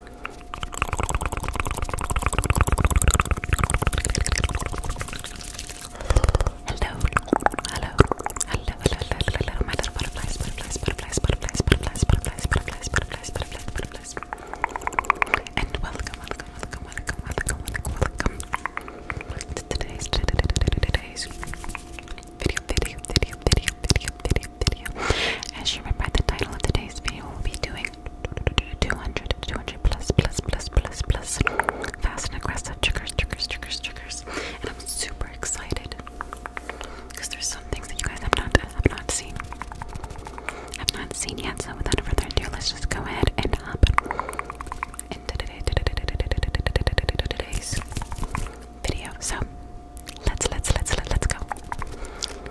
Hello, hello, hello, hello, hello, my little butterflies, butterflies, butterflies, butterflies, butterflies, butterflies, butterflies, butterflies, butterflies, butterflies, and welcome, welcome, welcome, welcome, welcome, welcome, welcome to today's, today's video, video, video, video, video, video, video, video. As you remember, the title of today's video will be doing 200, 200 plus, plus, plus, plus, plus fast and aggressive triggers, triggers, triggers, triggers. And I'm super excited because there's some things that you guys have not, have not seen, have not seen yet. So without further ado, let's just go ahead and hop into today, today's video. So let's let's let's let, let's go.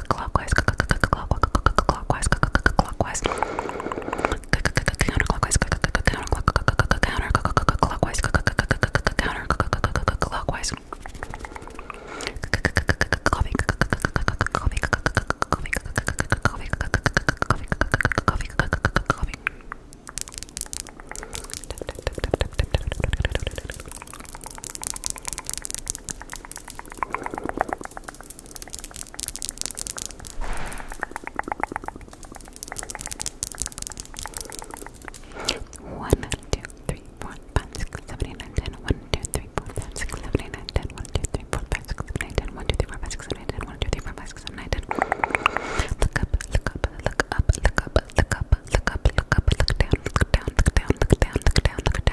clockwise, clockwise, clockwise, counterclockwise, counterclockwise, counterclockwise. Coffee, coffee, coffee, coffee, coffee, coffee, coffee. One, two, three, four, five, six, seven, eight, nine, ten. One, two, three, four, five, six, seven, eight, nine, ten. One, two, three, four, five, six, seven, eight, ten. One, two, three, four, five, six, seven, eight, Look up, look up, look up, look up, look up, look up, look up, look up, look down, look down, look down, look down, look down.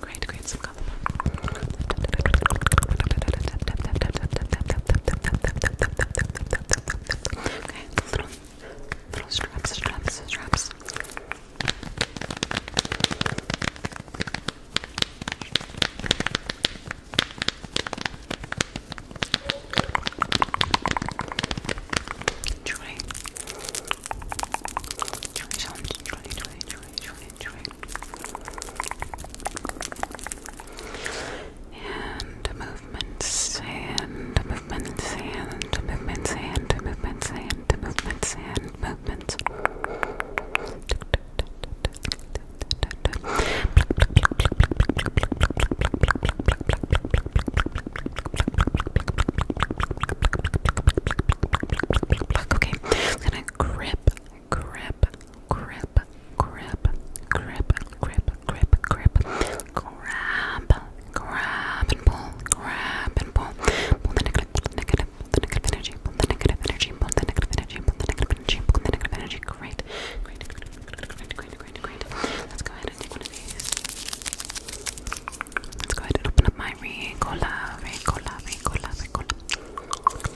Great, great, some color. Okay, little, little straps, straps, straps. Okay, Try. Try sounds. Try, try, try, try, try. And movements and movements and movements and movements and movements and movements. Okay, I'm gonna grip, grip, grip, grip, grip, grip, grip, grip, grab, grab and pull, grab and pull, pull the negative, negative, the negative energy, pull the negative energy, pull the negative energy, pull the negative energy, pull the negative energy. Great, great, great, great, great, great. Let's go ahead ahead and take one of these. Let's go ahead and open up my Ricola, Ricola, Ricola, Ricola. Ricola,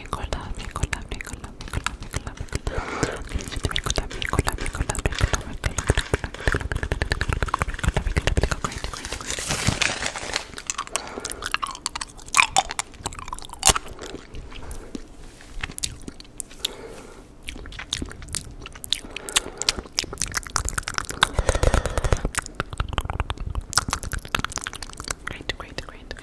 Ricola, Ricola, Great, great, great.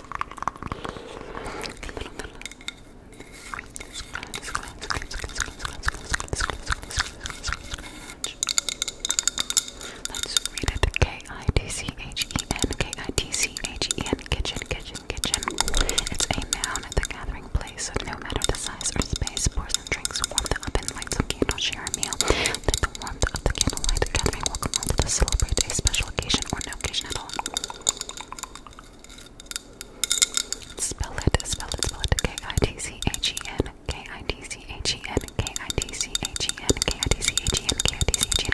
Let's read it. K I D C H E N K I D C H E N kitchen kitchen kitchen. It's a noun the gathering place. So no matter the size or space, pour drinks, warm the oven, light some candles, share a meal. The warmth of the Candlelight Gathering will come on to celebrate a special occasion or no occasion at all. Spell it, spell it, spell it. K I T C H E N. K I T C H E N. K I T C H E N. K I T C H E N. K I T C H E N.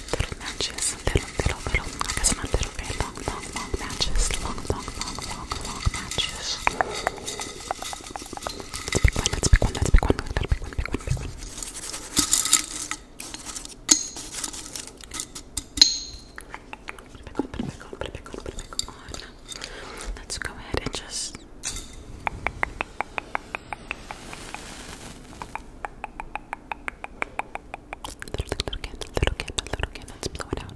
little matches, little, little, little, I guess not little, very long, long, long matches, long, long, long, long, long matches. Let's pick one, let's pick one, let's pick one, let's pick one, pick one, pick one. Put it back on, put it back on, put it back on, put it back on. Let's go ahead and just. Little, little candle, little candle, little candle. Let's blow it out.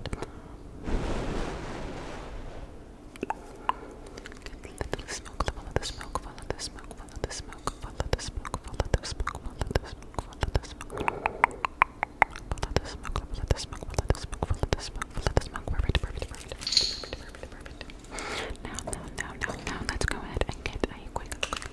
Good, little smoke, follow the smoke, follow the smoke, follow the smoke, follow the smoke, follow the smoke, follow the smoke, follow the smoke. Follow the smoke, follow the smoke, follow the smoke, follow the smoke, follow the smoke. Perfect, perfect, perfect, perfect, perfect, perfect, perfect. Now, now, now, now, now, let's go ahead and get a quick, quick,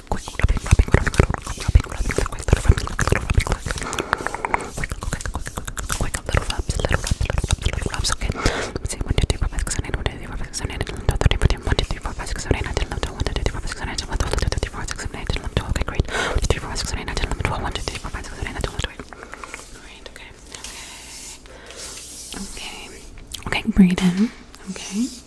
the quick rubbing, rubbing, rubbing, rubbing, rubbing, rubbing, the quick little rubbing, little rubbing, quick, quick, quick, quick, quick, quick, little rubs, little rubs, little rubs, little rubs. Okay. Let me see. One, two, three, four, five, six, seven, eight. One, two, three, four, five, six, seven, eight. One, two, three, four, one, two, three, four, five, six, seven, eight. I did love one, two, three, four, five, six, seven, eight. One, two, three, four, six, seven, eight. Did love twelve. Okay, great. One, two, three, four, five, six, seven, eight. I did love twelve. One, two, three, four, five, six, seven, eight. I did love twelve. Great. Okay. Okay. Okay. Okay. Breathe in. Okay.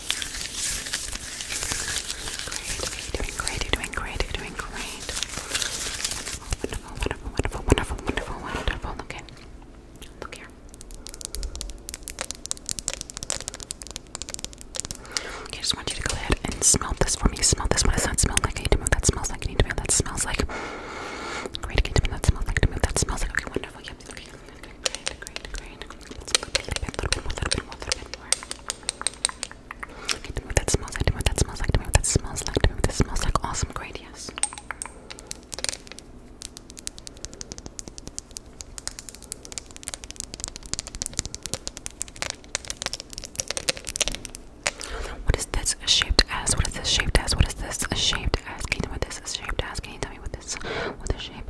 Great, you're doing great, you're doing great, you're doing great. Wonderful, wonderful, wonderful, wonderful, wonderful, wonderful, wonderful. Okay. Look here. Okay, just want you to go ahead and smell this for me. Smell this. What does smell like? I need to move. That smells like. I need to move. That smells like. I need to move. That smells like. To move. That smells like. Okay, wonderful. Okay. Great. Great. Great. I do know that smells like, that smells like, that smells like, that smells like. Awesome, great, yes. What is this shaped as? What is this shaped as? What is this shaped as? Can you tell me what this is shaped as? Can you tell me what this what the shape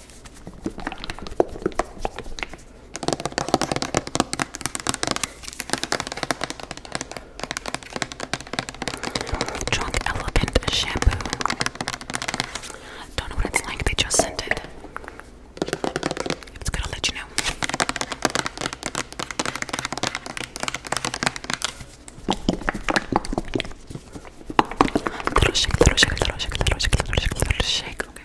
Drunk Elephant Shampoo. Don't know what it's like, they just sent it. it's good, i let you know. shake, little shake, little shake, little shake, little shake, little shake. Okay.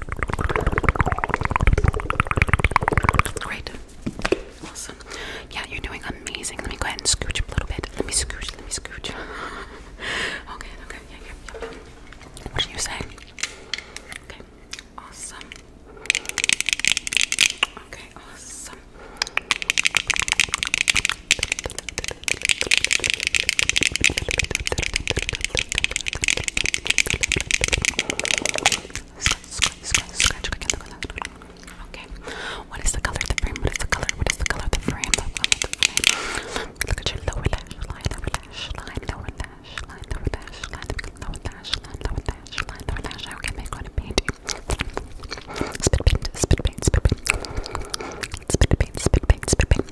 Great. Awesome. Yeah, you're doing amazing. Let me go ahead and scooch a little bit. Let me scooch, let me scooch. okay, okay, yeah, yeah, What did you say? Okay, awesome. Okay, awesome. Scratch, scratch, scratch, scratch. Okay. What is the color of the frame? What is the color? What is the color of the frame? Look at your lower lash line, lower lash line, lower lash line, lower lash line, lower lash line, lower lash line, lower lash line. Okay, make one and paint you. Spit paint, spit paint, spit paint. Spit paint, spit paint, spit paint.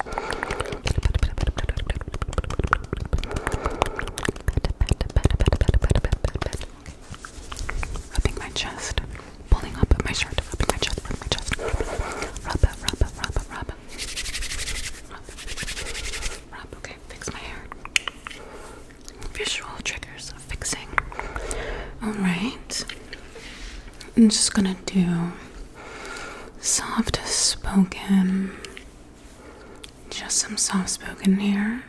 Rubbing my chest, pulling up at my shirt, rubbing my chest, rubbing my chest. Rub, rub, rub, rub, rub. Okay, fix my hair. Visual triggers fixing. All right. I'm just gonna do soft spoken. Just some soft spoken here.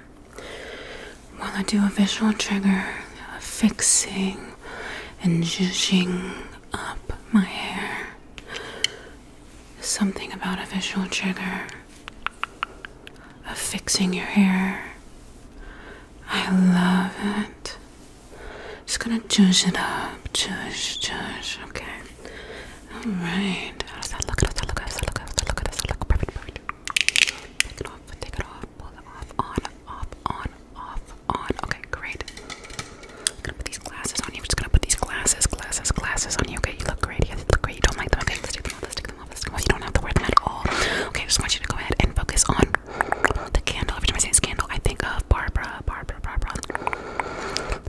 While I do a visual trigger of fixing and zhuzhing up my hair. Something about a visual trigger of fixing your hair. I love it. Just gonna juice it up, juice, juice. Okay. All right. How does that look? How does look? How does look? How does look? How does look? Perfect, perfect. Take it off. Take it off. Pull it off. On, off, on, off, on. Okay, great. I'm gonna put these glasses on you. I'm just gonna put these glasses, glasses, glasses on you. Okay, you look great. You look great. You don't like them. Okay, let's take them off. Let's take them off. Let's take them off. You don't have to wear them at all. Okay, I just want you to go ahead and focus on the candle, every time I say scandal, I think of Barbara, Barbara, Barbara.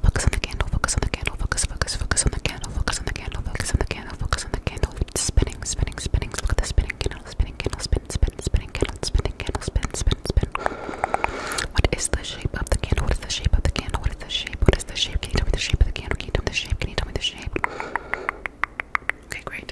Focus on the candle, focus on the candle, focus, focus, focus on the candle, focus on the candle, focus on the candle, focus on the candle. Spinning, spinning, spinning, look at the spinning candle, spinning candle, spin, spin, spinning candle, spinning candle, spin, spin, spin. What is the shape of the candle? What is the shape of the candle? What is the shape? What is the shape? Can you tell me the shape of the candle? Can you tell me the shape? Can you tell me the shape? Okay, great.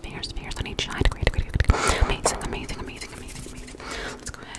fingers, fingers, on each side. Great, great, great. Amazing, amazing, amazing, amazing, Let's go ahead.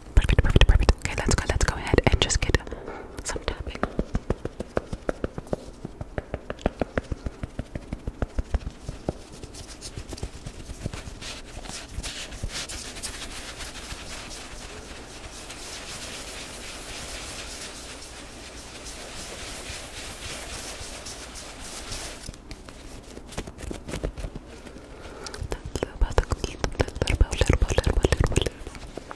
Perfect, perfect, perfect. Okay, let's go, let's go ahead and just get some typing. Little, little, little, little, little, little, little, little, little, little,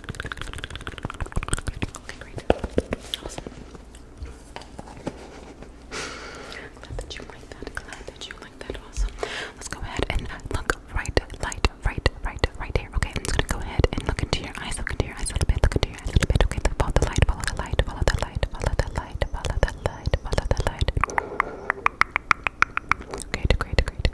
Okay, great. Awesome. Glad that you like that. Glad that you like that. Awesome. Let's go ahead and look right, light, right, right, right here. Okay, I'm just gonna go ahead and look into your eyes. Look into your eyes a little bit. Look into your eyes a little bit. Okay, look, follow the light. Follow the light. Follow the light. Follow the light. Follow the light. Follow the light. Follow the light. Great, great, great.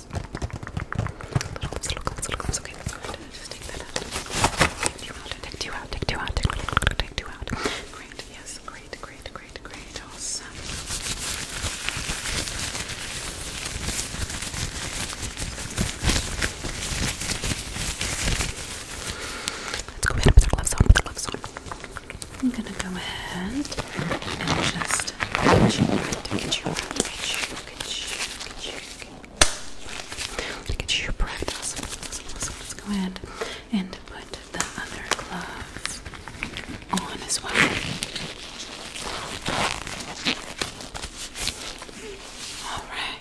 gloves. Little gloves, little gloves, Okay, Just take that out. Take out, take two out, take two out, take two out, Great, yes, great, great, great, great. Awesome. Let's go ahead and put the gloves on, put the gloves on. I'm gonna go ahead and just get you, get you, get you, get you, get you, get you, Look at your practice. Let's go ahead and put the other glove on as well. All right.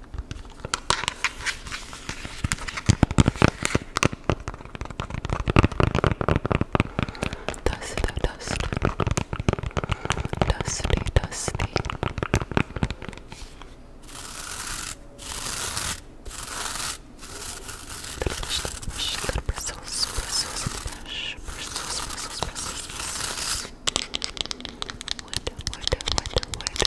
Dusty, dusty, dusty, dusty. Brush, brush, brush, bristles, bristles, brush, bristles, bristles, bristles, bristles. Wood, wood, wood, wood, wood.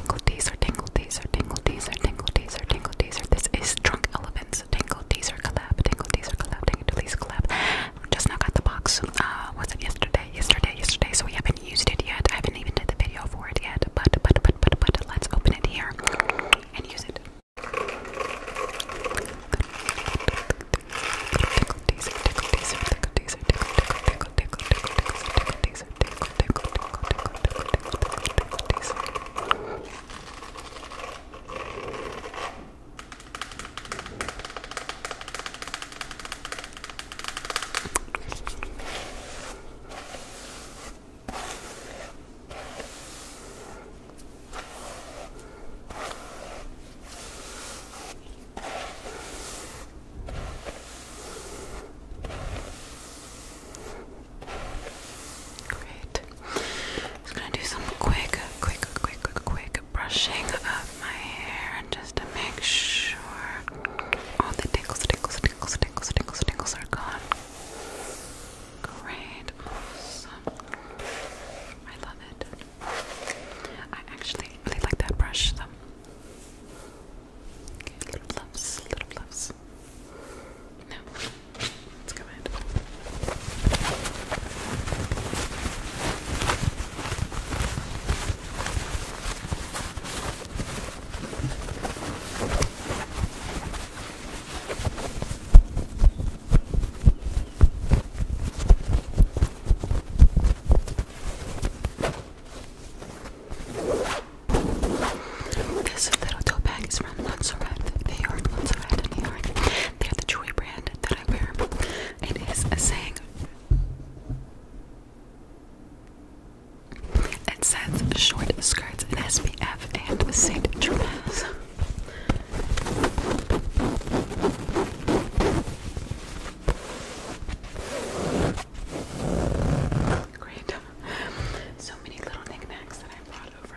Tingle teaser, tingle teaser, tingle teaser, tingle teaser, tingle teaser. This is Drunk Elephants Tingle Teaser collab, tingle teaser collab, tingle teaser collab. Just now got the box. Uh, was it yesterday? Yesterday, yesterday. So we have used it yet. I haven't even did the video for it yet. But but but but but let's open it here and use it. Great. I'm just gonna do some quick, quick, quick, quick, quick brushing of my hair and to make sure all the tickles, tickles, tickles, tickles, tickles, tickles are gone. Great, awesome. I love it. I actually really like that brush, though. little gloves, little gloves. No, let's go ahead. This little tote bag from Montserrat. They are in Montserrat in New York. They're the jewelry brand that I wear. It is a saying. It says short skirts in SPF and St. Tropez. Great. So many little knickknacks that I brought over.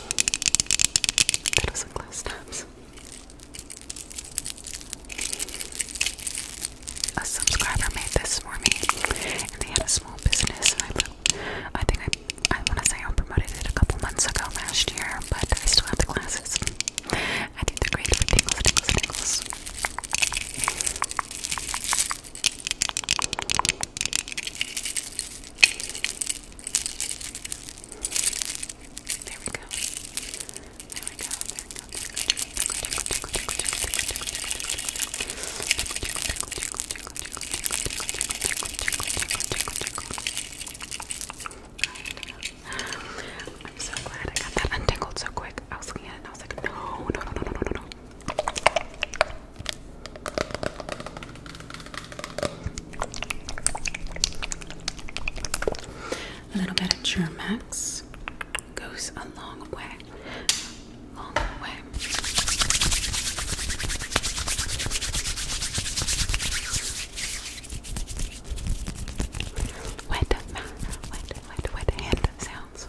That does tabs. A subscriber made this for me, and they had a small business, I, think I, I want to say I promoted it a couple months ago last year, but I still have the glasses. I think they're great for tingles, tingles, tingles. There we go. There we go. There we go. I'm so glad I got that untangled so quick. I was looking at it and I was like, no, no, no, no, no, no, no. A little bit of Germax goes a long way. Long way. wet, wet, wet hand sounds.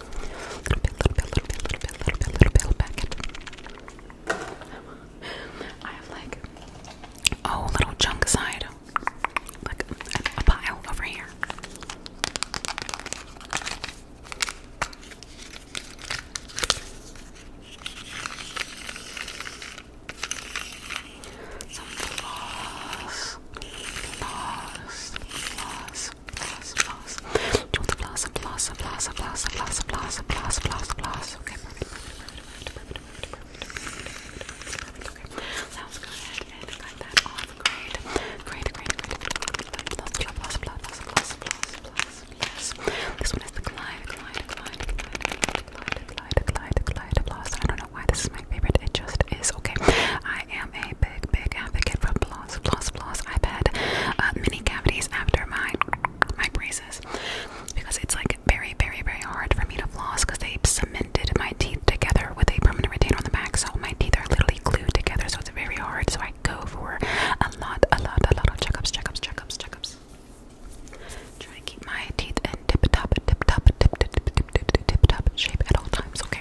little bit, little bit, little bit, little bit, little bit, little bit, little bit. I have like oh, little junk side, like a, pile over here. Some floss, floss, floss, floss, floss. Do the floss and floss and floss and floss and floss and Okay, Now let's go ahead and cut that off. Great, great, great, great. Floss, floss, floss, floss, floss, floss, floss, floss. This one is the Glide, Glide, Glide, Glide, Glide, Glide, Glide, Glide floss. I don't know why this is my favorite. It just is. Okay, I am a big, big advocate for floss floss, floss, floss. I've had uh, many cavities after my my braces because it's like very, very, very hard for me to floss because they cemented my teeth together with a permanent retainer on the back, so my teeth are literally glued together. So it's very hard. So I go for a lot, a lot, a lot of checkups, checkups, checkups, checkups. Try to keep my teeth in tip-top, tip-top, tip-tip, tip-top shape at all times. Okay.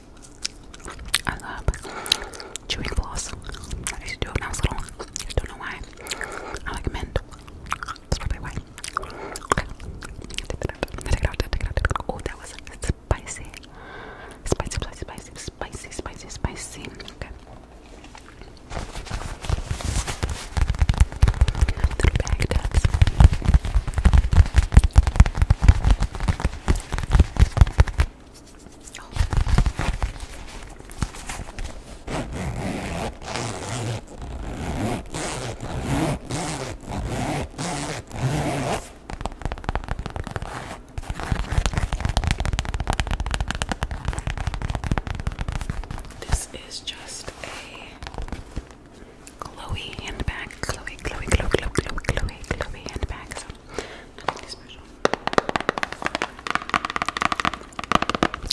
I love chewing floss. I used to do it when I was little. I don't know why. I like mint. That's probably why. Oh, that was spicy. Spicy, spicy, spicy, spicy, spicy, spicy. Okay. Little bag this is just a Chloe handbag. Chloe, Chloe, Chloe, Chloe, Chloe, Chloe, Chloe handbag.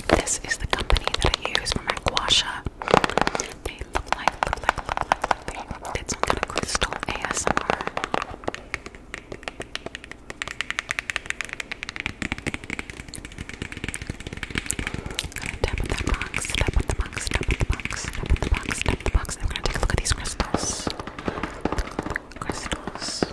This is the company that I use for my guasha. They look like, look look like, look like, some kind of crystal ASMR. I'm gonna tap on that box, tap on the box, tap on the box, tap on the box, tap on the box. I'm gonna take a look at these crystals crystals.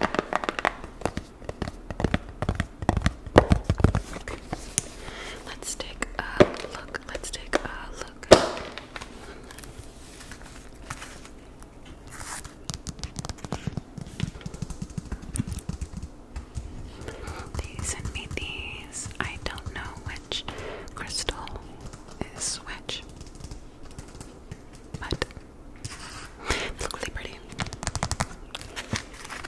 Let's take a look. Let's take a look. They sent me these. I don't know which crystal is which. But they really pretty.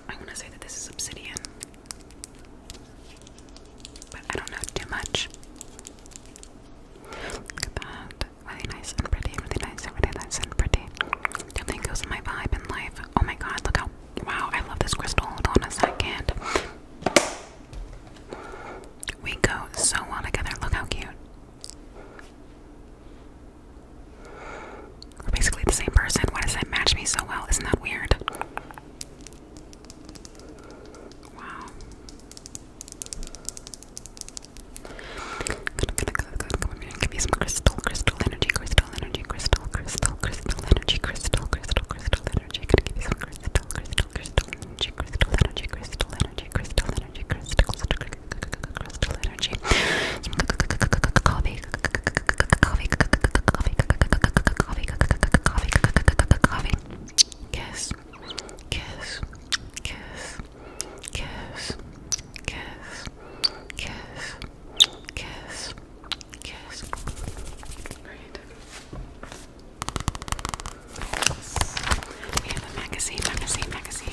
I'm gonna say that this is obsidian. But I don't know too much. Look at that. Really nice and pretty, really nice and really nice pretty. Definitely goes with my vibe in life. Oh my god, look how wow, I love this crystal. Hold on a second. We go so well together. Look how cute. We're basically the same person. Why does that match me so well? Isn't that weird? Wow. Good, good, good, good. Come here and give me some crystal, crystal energy, crystal energy, crystal, crystal, crystal energy, crystal, crystal energy. Gonna give you some crystal, crystal, crystal energy, crystal energy, crystal energy, crystal energy, crystal, crystal energy. Some coffee, coffee, coffee, coffee, coffee, coffee. Kiss, kiss, kiss, kiss, kiss, kiss, kiss, kiss. Great. We have a magazine, magazine, magazine.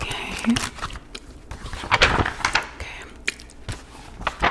Okay. Okay. Okay.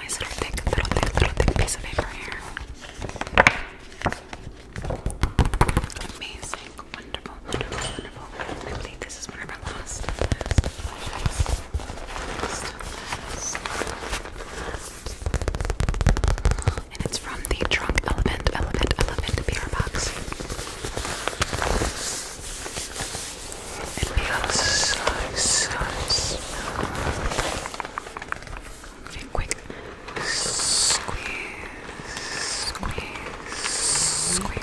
Nice little thick, little thick, little thick piece of paper here. Amazing, wonderful, wonderful, wonderful. I believe this is one of our last, And it's from the Drunk Elephant, Elephant, Elephant PR box. It feels so, so smooth. Okay, quick. Squeeze, squeeze, squeeze.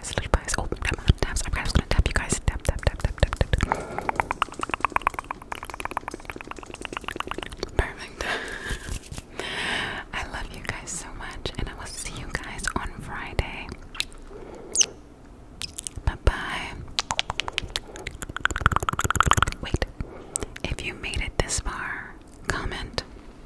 Oh, tap on the I'm just gonna tap you guys. Tap, tap, tap, tap, tap, tap. Perfect. I love you guys so much, and I will see you guys on Friday. Bye bye. Wait, if you made it this far, comment